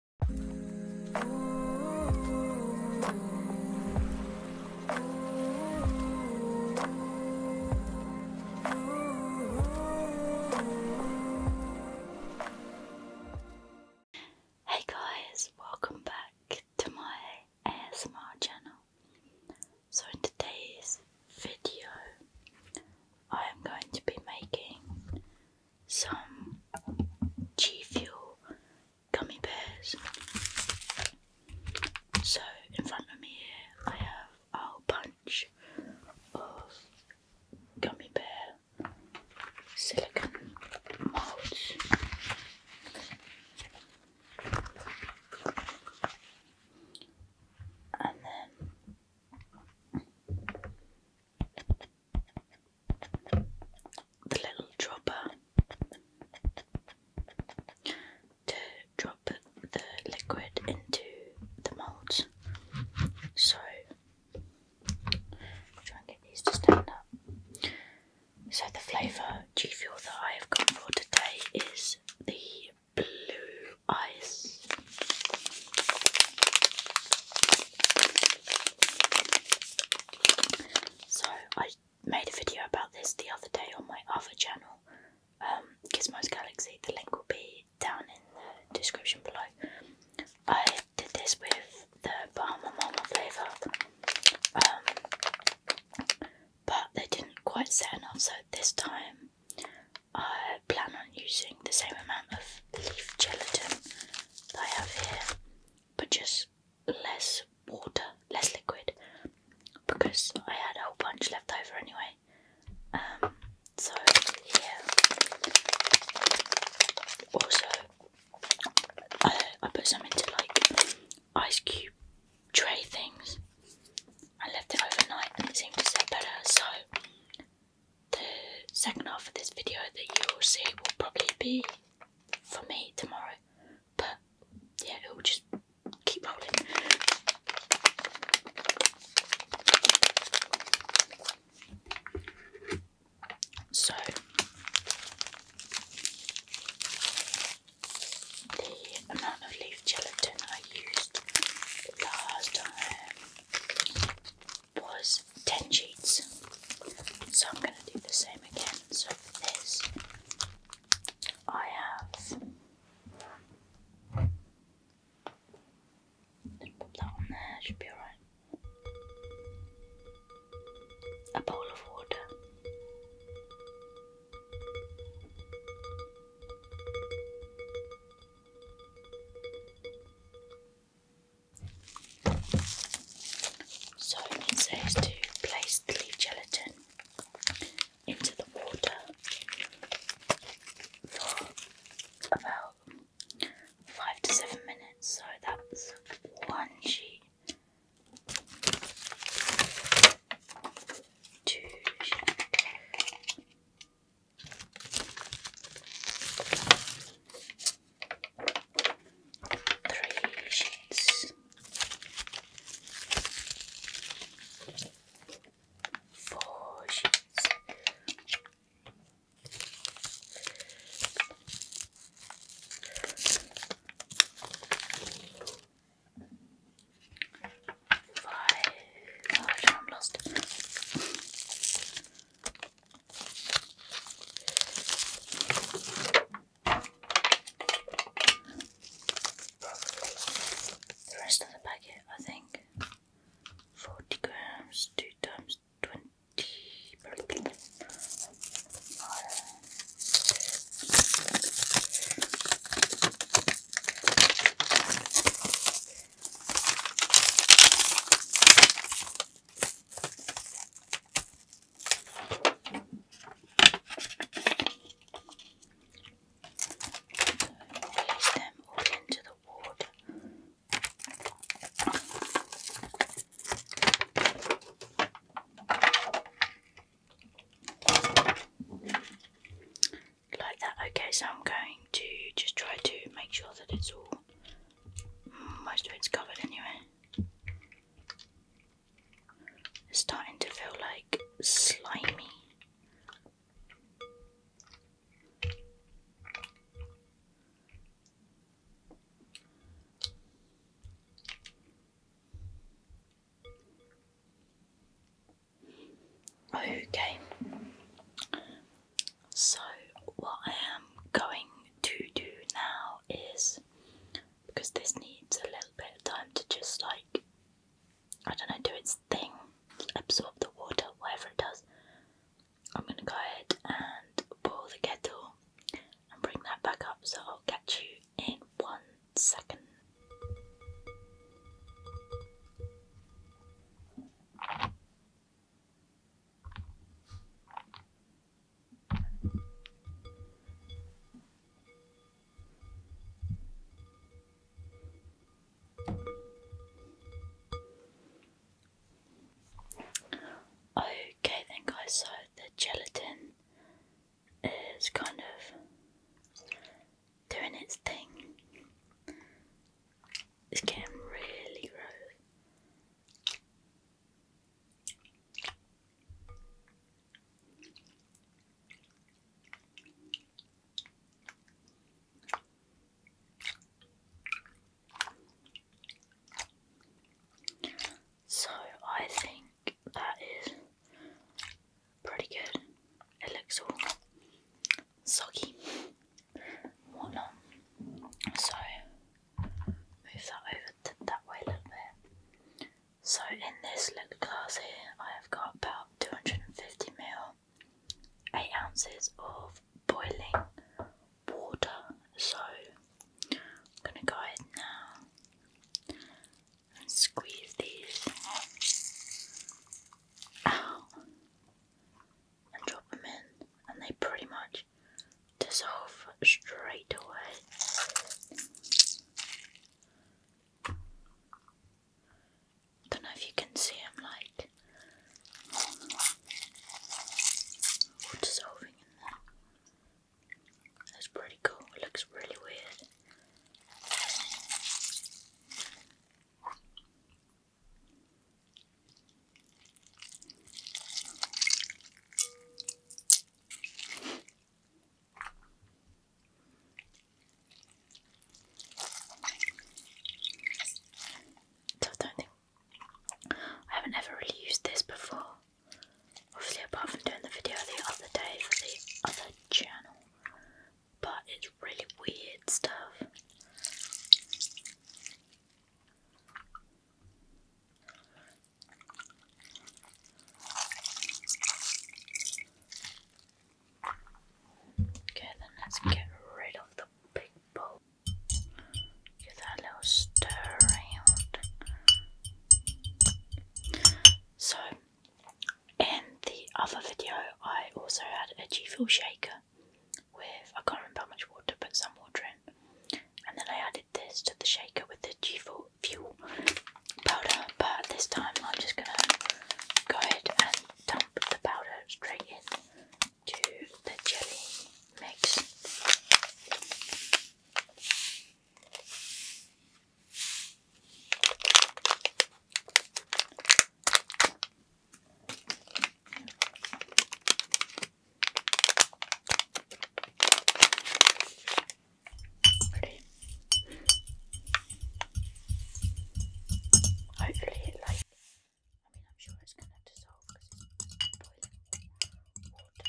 Hey guys, welcome back to my ASMR channel. So, in today's video, I am going to be making some G Fuel gummy bears. So in front of me here I have a bunch of gummy bear silicon molds. And then the little dropper to drop the liquid into the moulds. So, try and get these to stand up. So, the flavour G Fuel that I have gone for today is the blue ice. So I made a video about this the other day on my other channel, um, Gizmo's Galaxy. The link will be down in the description below. I did this with the Bahama Mama flavour, um, but they didn't quite set enough. So this time I plan on using the same amount of leaf gelatin that I have here, but just less water, less liquid, because I had a whole bunch left over anyway. Um, so yeah. Also, I put some into like ice cube tray things. I left it overnight and it seemed to set better, so the second half of this video that you will see will probably be for me tomorrow. But yeah, it will just keep rolling. So the amount of leaf gelatin I used last time was 10 sheets. So I'm going to do the same again. So for this, I have. Just put that on there, should be alright. A bowl of water. So it says to place the gelatin into the water for about five to seven minutes. So that's one sheet, two sheet, Three sheets, four sheets, five. Oh, i lost. The rest of the packet, I think, forty grams, two times twenty. Place them all into the ward. Like that. Okay, so I'm going to just try to make sure that it's all most of it's covered anyway. It's starting to feel like slimy. Okay, so, what I am going to do now is because this needs a little bit of time to just like, I don't know, do its thing, absorb the water, whatever it does. I'm gonna go ahead and boil the kettle and bring that back up, so I'll catch you in one second. Okay, think I saw the gelatin is kind of doing its thing. It's getting really gross. So I think that is pretty good. It looks all soggy, whatnot. So move that over to that way a little bit. So in this little glass here, I have got about 250 ml, eight ounces of boiling water. So I'm gonna go ahead now and squeeze these and drop them in, and they pretty much dissolve straight away. Don't know if you can see them like dissolving That's pretty cool, it looks really weird. So I haven't ever really used this before. Obviously, apart from doing the video the other day for the other channel, but it's really weird stuff. Okay, then let's get rid of the big bowl. Give that little stir around. So, in the other video, I also had a G Fuel shaker, with I can't remember how much water, but some water in. And then I added this to the shaker with the G fuel powder, but this time I'm just gonna go ahead and dump the powder straight in to the jelly mix. Pretty. Hopefully it like I mean I'm sure it's gonna dissolve because it's boiling water.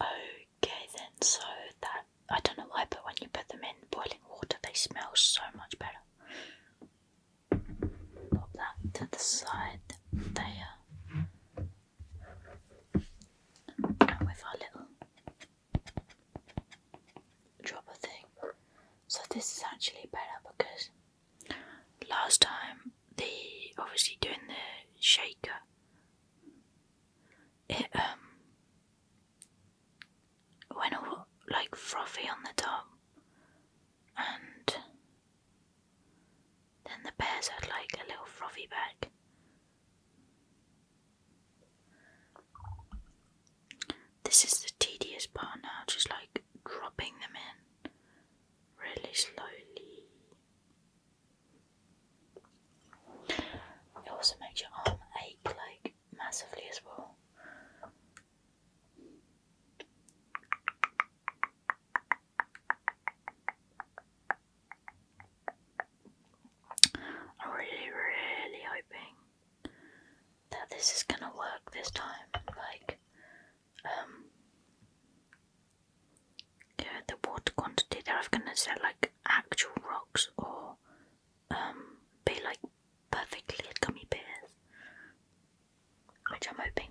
Okay, then, so that I don't know why, but when you put them in boiling water, they smell so much better. Pop that to the side there. And with our little dropper thing. So, this is actually better because last time, the obviously doing the shaker it um, went like frothy on the top and then the bears had like a little frothy back. This is the tedious part now, just like dropping them in really slowly. It also makes your arm ache like massively as well. I'm really, really hoping that this is gonna work this time. Like, um, yeah, the water quantity they're either gonna set like actual rocks or um, be like perfectly gummy bears. Which I'm hoping.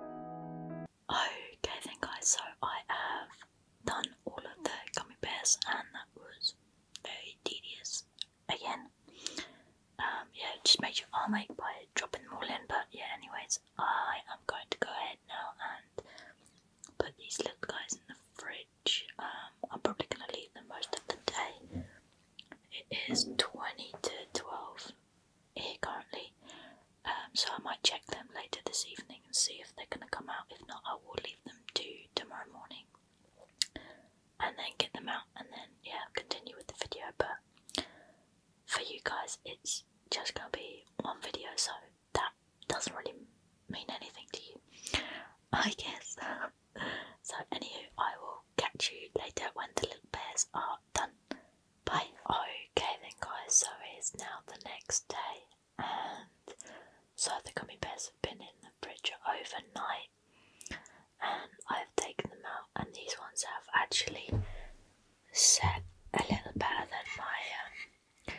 Okay then guys, so I have done all of the gummy bears and that was very tedious again. Um, yeah, just made your arm ache by dropping them all in, but yeah, anyways, I am going to go ahead now and put these little guys in the fridge. Um, I'm probably going to leave them most of the day. It is 20 to 12 here currently, um, so I might check them later this evening and see if they're going to come out. If not, I will leave them to tomorrow morning and then get them out and then, yeah, continue with the video. But for you guys, it's just going to be one video, so that doesn't really mean anything to you, I guess. so, anyway, I will catch you later when the little bears are done. But okay then guys, so it is now the next day and so the gummy bears have been in the fridge overnight and I've taken them out and these ones have actually set a little better than my um,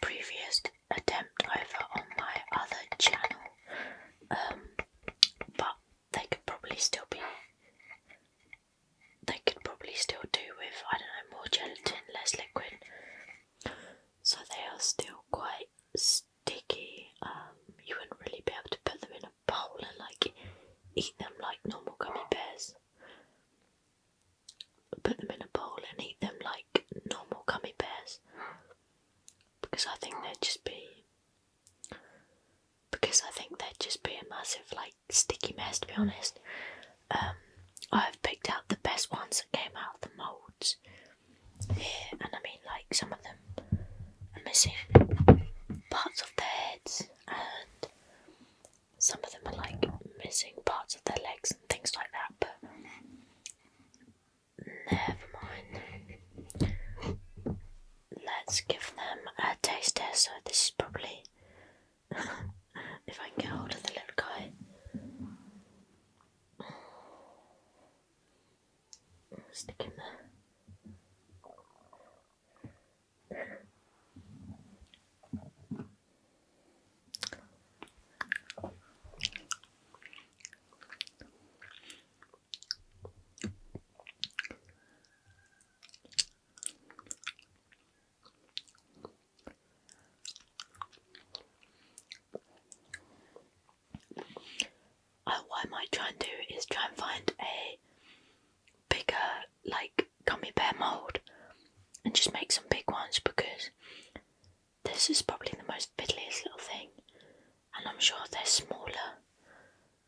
previous attempt over on my other channel um, but they could probably still be they could probably still do with I don't know more gelatin, less liquid. So they are still quite sticky. Um, you wouldn't really be able to put them in a bowl and like eat them like normal gummy bears. Put them in a bowl and eat them like normal gummy bears because I think they'd just be because I think they'd just be a massive like sticky mess to be honest. Um, I've picked out the best ones that came out of the moulds here, and I mean like some of them are missing parts of their heads, and some of them are like missing parts of their legs and things like that. But never mind let's give them a taste test. So this is probably if I can get hold of the little guy. Stick him there. Oh, what I might try and do is try and find a bigger, like, gummy bear mould and just make some big ones because this is probably the most fiddliest little thing, and I'm sure they're smaller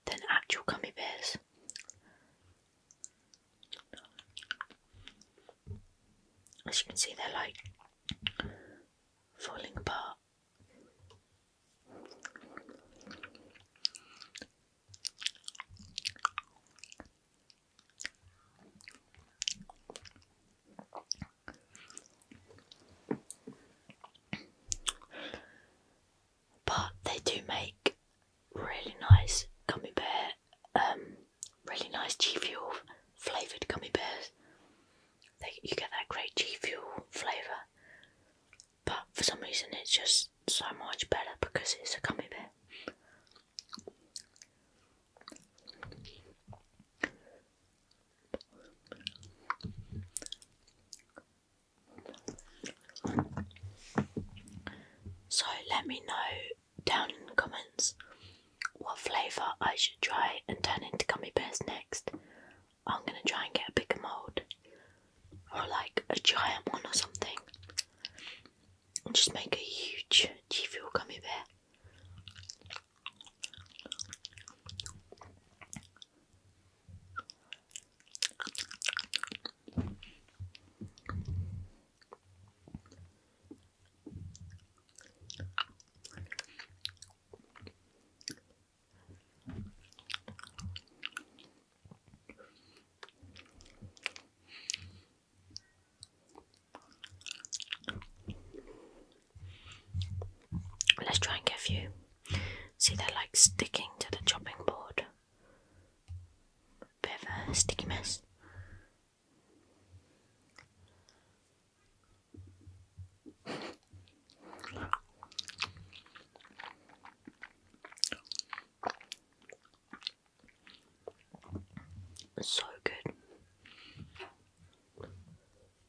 than actual gummy bears. As you can see, they're like falling apart but they do make really nice gummy bear, um, really nice G Fuel flavoured gummy bears. you get that great G Fuel flavour, but for some reason it's just so much better because it's a gummy bear. So let me know down in the comments what flavour I should try and turn into gummy bears next. I'm gonna try and get a bigger mould or like a giant one or something. And just make a huge G Fuel gummy bear. Let's try and get a few See, they're like sticking to the chopping board. Bit of a sticky mess. So good.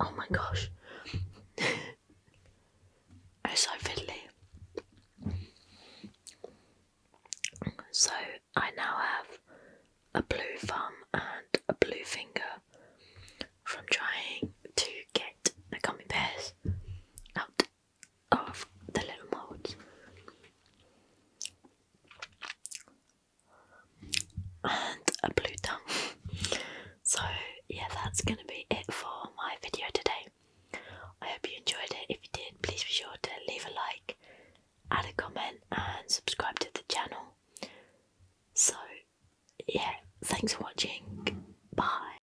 Oh my gosh. it's so fiddly. So I now have a blue thumb and a blue finger from trying to get the gummy bears out of the little molds. And a blue tongue. So, yeah, that's going to be it for my video today. I hope you enjoyed it. If you did, please be sure to leave a like, add a comment, and subscribe to the channel. So, yeah, thanks for watching. Bye.